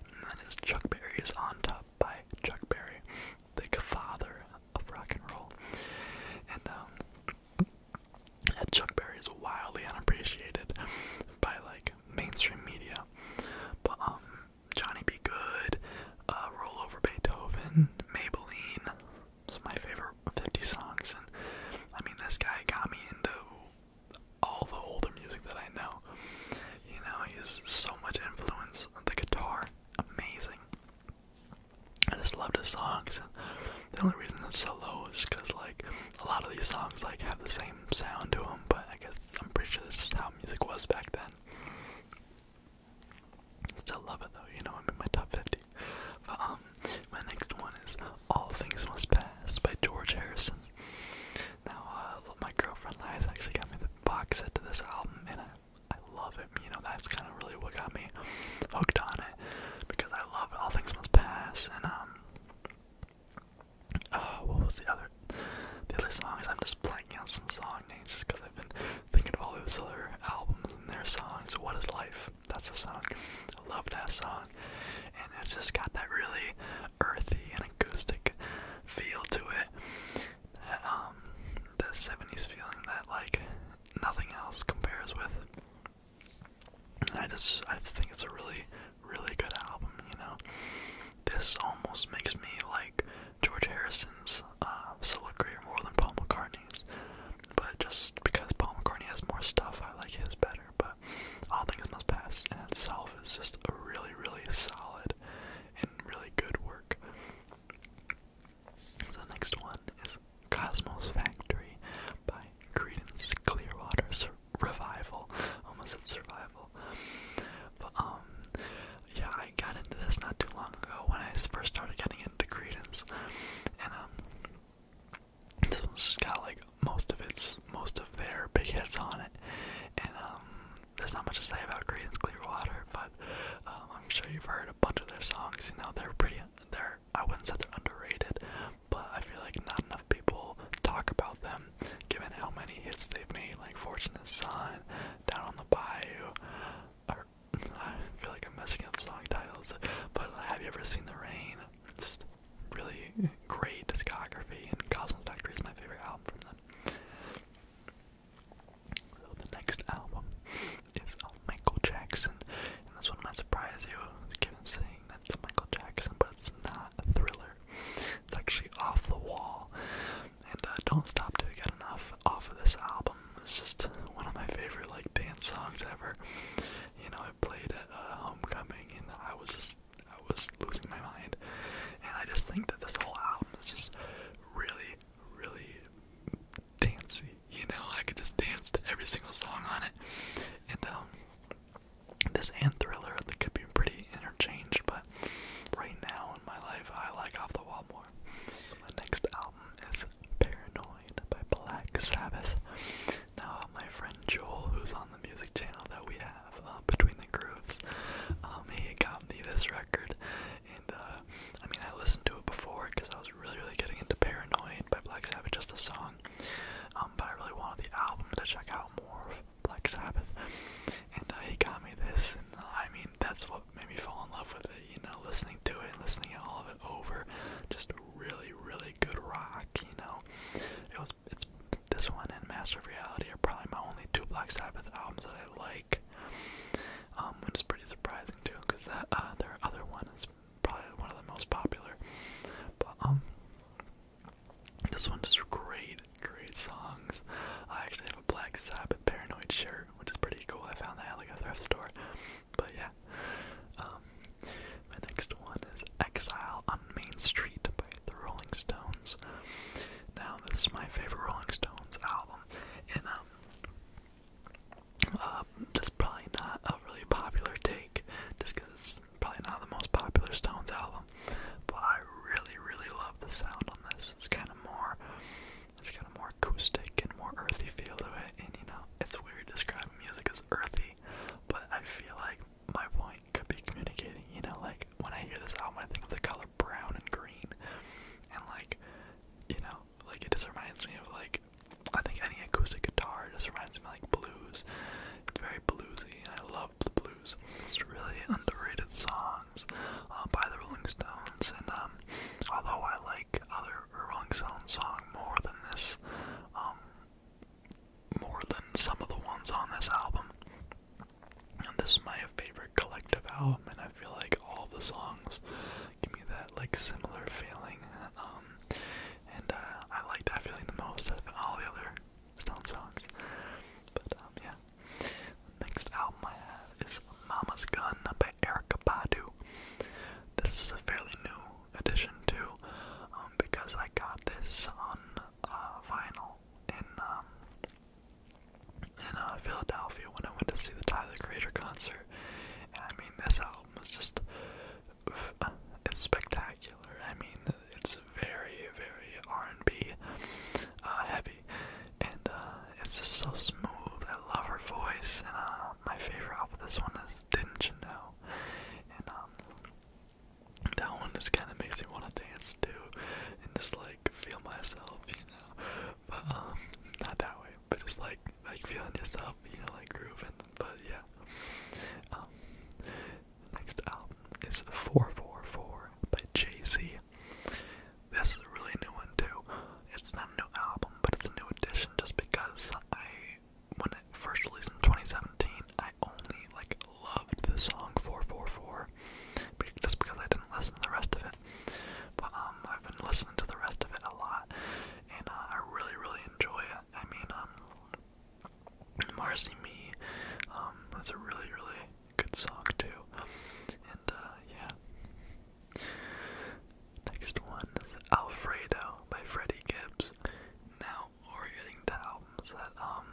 Speaker 1: and that is Chuck Berry's On Top by Chuck Berry, the father of rock and roll. And um, Chuck Berry is wildly unappreciated by like mainstream media, but um, Johnny B. Good, uh, Roll Over Beethoven, Maybelline, it's my favorite 50 songs, and I mean, this guy got me into all the older music that I know. You know, he has so much influence on the guitar. Amazing. I just loved his songs. And the only reason it's so low is because, like, a lot of these songs like have the same sound to them. But I guess I'm pretty sure this is how music was back then. Still love it though, you know, I'm in my top 50. But, um, my next one is All Things Must Pass by George Harrison. Now, uh, my girlfriend Liza actually got me the box set to this album, and I, I love it. You know, that's kind of really what got me hooked on it because I love All Things Must Pass, and, um, uh, what was the other? The other song is I'm just blanking out some song names just because I've been thinking of all of those other albums and their songs. What is life? That's a song. I love that song, and it's just got that really earthy and acoustic feel to it. the um, '70s feeling that like nothing else compares with. I just I think it's a really really good album. You know, this almost makes me like George Harrison's uh, still a greater more than Paul McCartney's, but just because Paul McCartney has more stuff, I like his better. But All Things Must Pass in itself is just a really, really solid and really good work. So next one is Cosmos Factory by Creedence Clearwater Sur Revival. Almost a Survival. But, um, yeah, I got into this not too long ago when I first started getting into Credence and um, this one's just got like most of its most of their big hits on it, and um, there's not much to say about Creedence Clearwater, but um, I'm sure you've heard a bunch of their songs. You know, they're pretty. They're I wouldn't say they're underrated, but I feel like not enough people talk about them, given how many hits they've made, like Fortunate Son, Down on the Bayou, I feel like I'm messing up song titles, but have you ever seen The Rain? Just really great discography, and Cosmos Factory is my favorite album from them. So the next album is of Michael Jackson, and this one might surprise you, given saying that it's Michael Jackson, but it's not a thriller. It's actually off the wall, and uh, Don't Stop Till You Get Enough off of this album it's just one of my favorite like dance songs ever. You know, I played at uh, homecoming and I was just I was losing my mind. And I just think that this whole album is just really, really dancey. You know, I could just dance to every single song on it. And um this and thriller they could be pretty interchanged, but right now in my life I like off the wall more. So my next album is Paranoid by Black Sabbath. Now, my friend Joel, who's on the music channel that we have uh, between the grooves, um, he got me this record, and uh, I mean, I listened to it before because I was really, really getting into Paranoid by Black Sabbath, just the song. Um, but I really wanted the album to check out more of Black Sabbath, and uh, he got me this, and I mean, that's what made me fall in love with it. You know, listening to it, and listening to all of it over. Just really, really good rock, you know. It was it's this one and Master of Reality are probably my only two Black Sabbath albums that I like. Um, which is pretty surprising too, because that uh, their other one is probably one of the most popular. But um this one just great, great songs. I actually have a Black Sabbath Paranoid shirt, which is pretty cool. I found that at like a thrift store but yeah. Um, my next one is Exile on Main Street by the Rolling Stones. Now, this is my favorite Rolling Stones album, and um, uh, that's probably not a really popular take, just because it's probably not the most popular Stones album, but I really, really love the sound on this. It's kind of more it's got a more acoustic and more earthy feel to it, and you know, it's weird describing music as earthy, but I feel like my point could be communicating, you know, like when I hear this album, I think of the color brown and green, and like, you know, like it just reminds me of like, I think any acoustic guitar just reminds me of, like blues. It's very bluesy, and I love the blues. It's really underrated songs uh, by the Rolling Stones, and um, although I like other Rolling Stones song more than this, um, more than some of the ones on this album. And this is my favorite collective album, and I feel like all the songs give me that like similar feeling. Um, and uh, I like that feeling the most of all the other Stone songs. But um, yeah, the next album I have is Mama's Gun by Erica Badu. This is a fairly new addition too, um, because I got this on uh, vinyl in um, in uh, Philadelphia when I went to see the Tyler Creator concert. I mean, this album is just uh, it's spectacular. I mean, it's very, very R&B heavy, and it's just so smooth. I love her voice, and uh, my favorite off of this one is Didn't You Know? And um, that one just kind of makes me want to dance too and just like feel myself, you know? But um, not that way, but just like, like feeling yourself, you know, like grooving. But yeah. Um, next album is 444 by Jay Z. This is a really new one too it's not a new album, but it's a new edition just because I, when it first released in 2017, I only, like, loved the song 444, just because I didn't listen to the rest of it. But, um, I've been listening to the rest of it a lot, and uh, I really, really enjoy it. I mean, um, Marcy Me, um, that's a really, really good song, too. And, uh, yeah. Next one is Alfredo by Freddie Gibbs. Now we're getting to albums that um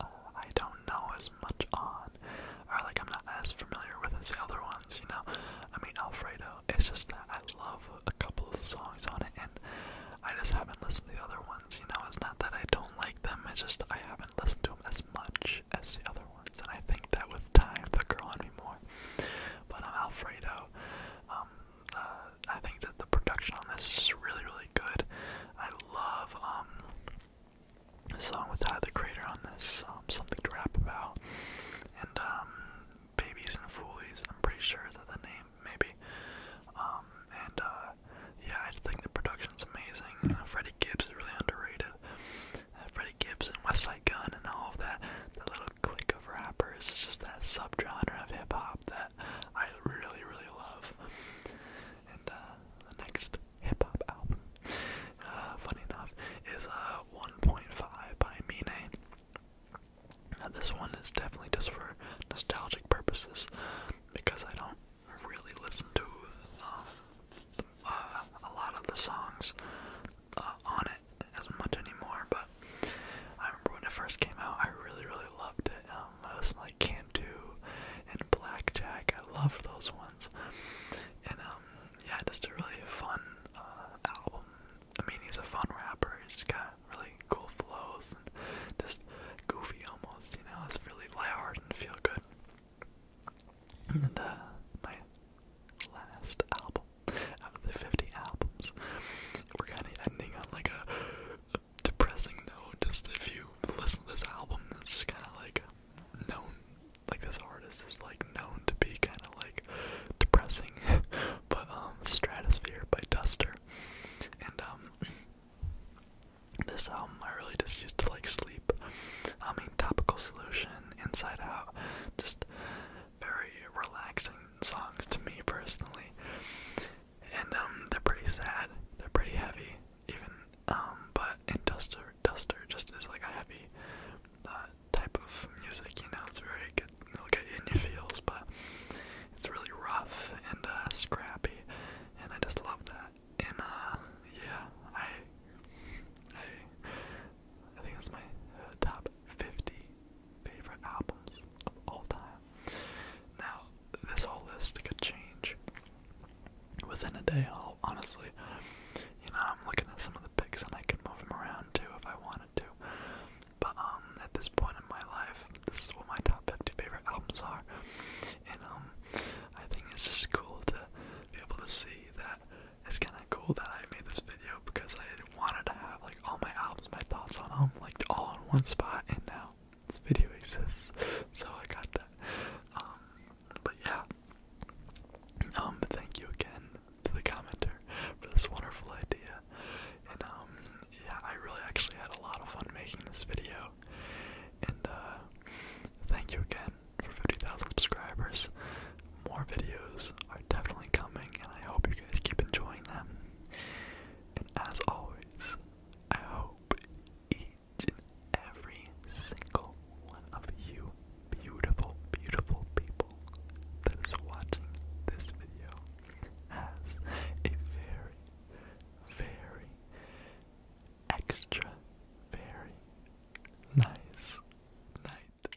Speaker 1: uh, I don't know as much on, or like I'm not as familiar with as the other ones. You know, I mean Alfredo. It's just that I love a couple of songs on it, and I just haven't listened to the other ones. You know, it's not that I don't like them. It's just I haven't listened to them as much as the other ones, and I think that with time, the girl on me more anymore. But um, Alfredo, um, uh, I think that the production on this is just really, really good. I love um, the song with Tyler the Creator on this, um, something to rap about, and um, Babies and Foolies. I'm pretty sure is that the name, maybe. Um, and uh, yeah, I just think the production's amazing. Uh, Freddie Gibbs is really underrated. Uh, Freddie Gibbs and Westside Gun and all of that, that little clique of rappers. is just that subgenre of hip hop that I really, really love. And uh, the next hip hop album, uh, funny enough, is uh, 1.5 by Mine. Now, this one is definitely just for nostalgic purposes because I don't really listen to um, uh, a lot of the songs uh, on it as much anymore, but I remember when it first came out, I really, really loved it. Um, I listened to, like Cantu and Blackjack. I loved those ones, and um, yeah, just a really fun uh, album. I mean, he's a fun rapper. He's got really cool flows and just goofy almost. You know, it's really light-hearted and feel good. And uh, my last album out of the 50 albums. We're kind of ending on like a, depressing note. Just if you listen to this album, it's just kind of like known, like this artist is like known to be kind of like depressing. [laughs] but um, Stratosphere by Duster, and um, this album I really just used to like sleep. I mean, Topical Solution, Inside Out, just very relaxing songs to me personally. And um, they're pretty sad. They're pretty heavy, even. Um, but in Duster, Duster just is like a heavy uh, type of music. You know, it's very good. It'll get you in your feels, but it's really rough and uh, scrappy, and I just love that. And uh, yeah, I, I, I think it's my top 50 favorite albums of all time. Now, this whole list could change within a day. I'll, honestly, you know, I'm looking at some of the picks and I could move them around too if I wanted to. But um, at this point in my life, this is what my top 50 favorite albums are, and um, I think it's just cool to be able to see that it's kind of cool that I made this video because I wanted to have like all my albums, my thoughts on them, like all in one spot, and now this video exists, so I got that. Um, but yeah, um, thank you again to the commenter for this wonderful idea, and um, yeah, I really actually had a lot of fun making this video, and uh, thank you again for 50,000 subscribers more videos are definitely coming, and I hope you guys keep enjoying them. And as always, I hope each and every single one of you beautiful, beautiful people that is watching this video has a very, very extra, very nice night.